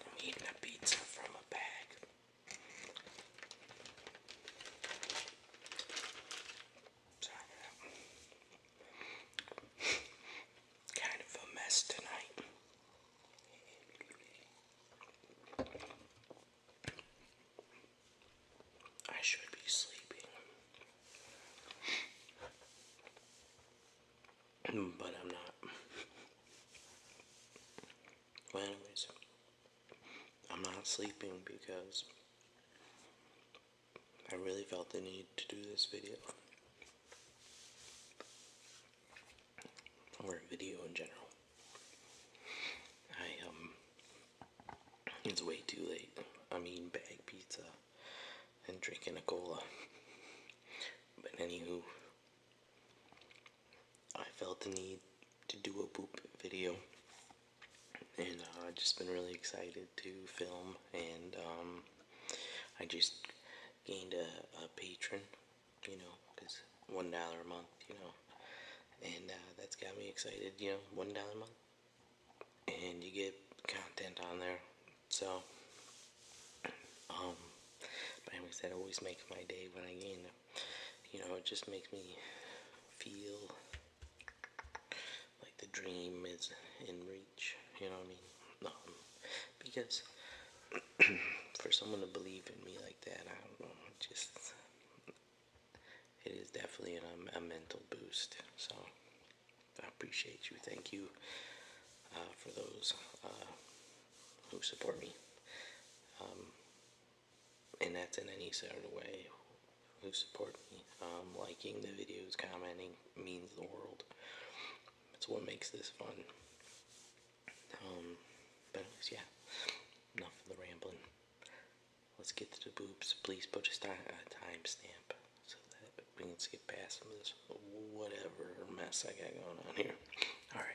I'm eating a pizza from a bag. Sorry. kind of a mess tonight. I should be sleeping, mm, but I'm not. Well, anyways, I'm not sleeping because I really felt the need to do this video or video in general. I, um, it's way too late. i mean, bag pizza and drinking a cola. But anywho, I felt the need to do a boop video. And uh, I've just been really excited to film and um, I just gained a, a patron you know, because one dollar a month, you know, and uh, that's got me excited, you know, one dollar a month, and you get content on there, so, um, but anyways, that always makes my day when I gain them, you know, it just makes me feel like the dream is in reach, you know what I mean, um, because for someone to believe in me like that, I don't know. Just it is definitely um, a mental boost. So I appreciate you. Thank you uh, for those uh, who support me, um, and that's in any sort of way. Who support me, um, liking the videos, commenting means the world. That's what makes this fun. but yeah, enough of the rambling. Let's get to the boobs. Please put a, a timestamp so that we can skip past this whatever mess I got going on here. Alright.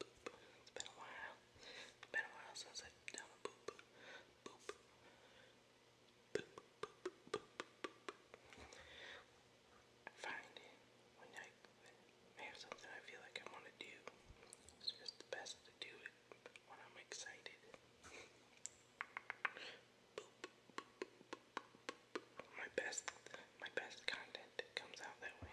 boop. It's been a while. been a while since I've done a boop. Boop. Boop. Boop. Boop. Boop. I find when I, when have something I feel like I want to do, it's just the best to do it when I'm excited. My best, my best content comes out that way.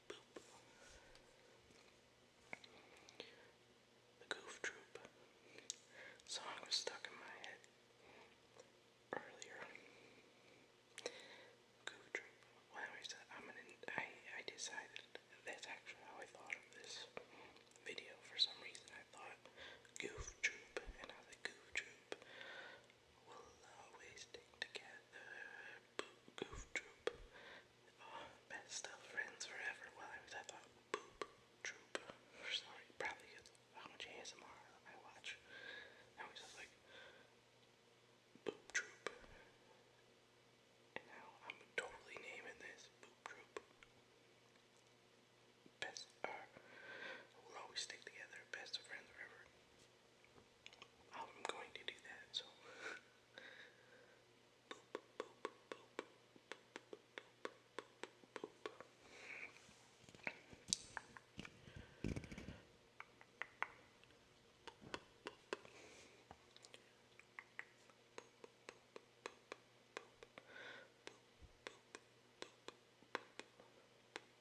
The Goof Troop song was stuck in my head earlier. Goof Troop. Well, anyways, I'm gonna, I, I decided, that's actually how I thought of this video. For some reason, I thought Goof Troop, and I Goof Troop will always stay together. Boo Goof best of friends forever. Well, I was I thought Boop Troop for some reason, probably because how much ASMR I watch. I was just like Boop Troop. And now I'm totally naming this Boop Troop. Best, uh, we'll always stick together. Best of friends forever. I'm going to do that, so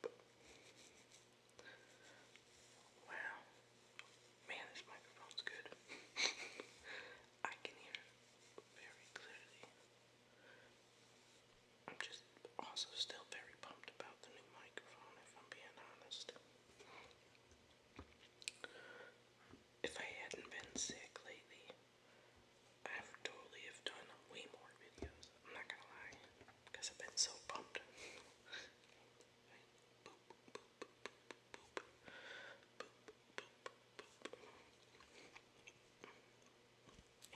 Wow. Man, this microphone's good. I can hear very clearly. I'm just also still very pumped about the new microphone, if I'm being honest. If I hadn't been sick lately, I totally have done way more videos. I'm not gonna lie, because I've been so pumped.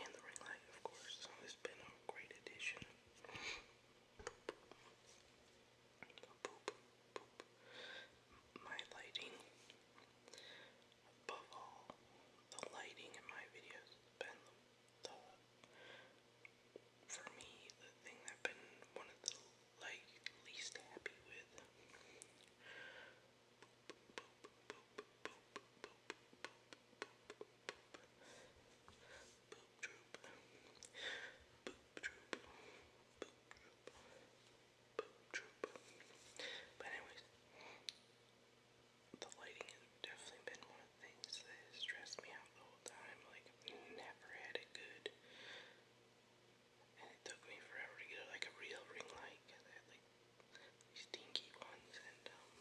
and the ring light, of course. has been a great addition. My lighting, above all, the lighting in my videos has been the for me the thing I've been one of the like least happy with but anyways, the lighting has definitely been one of the things that has stressed me out the whole time. Like, I've never had it good. And it took me forever to get like a real ring light because I had like these dinky ones and um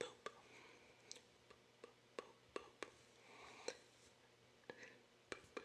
poop. Poop, poop, poop. poop.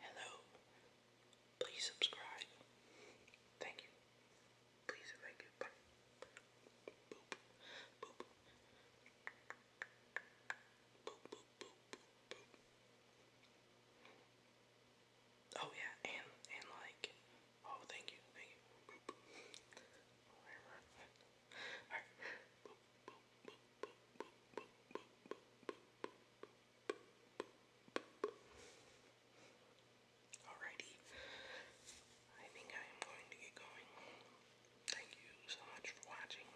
Hello. Please subscribe. Thank you. Please and Bye. Oh yeah, and and like oh thank you, thank you. Alrighty. I think I am going to get going. Thank you so much for watching.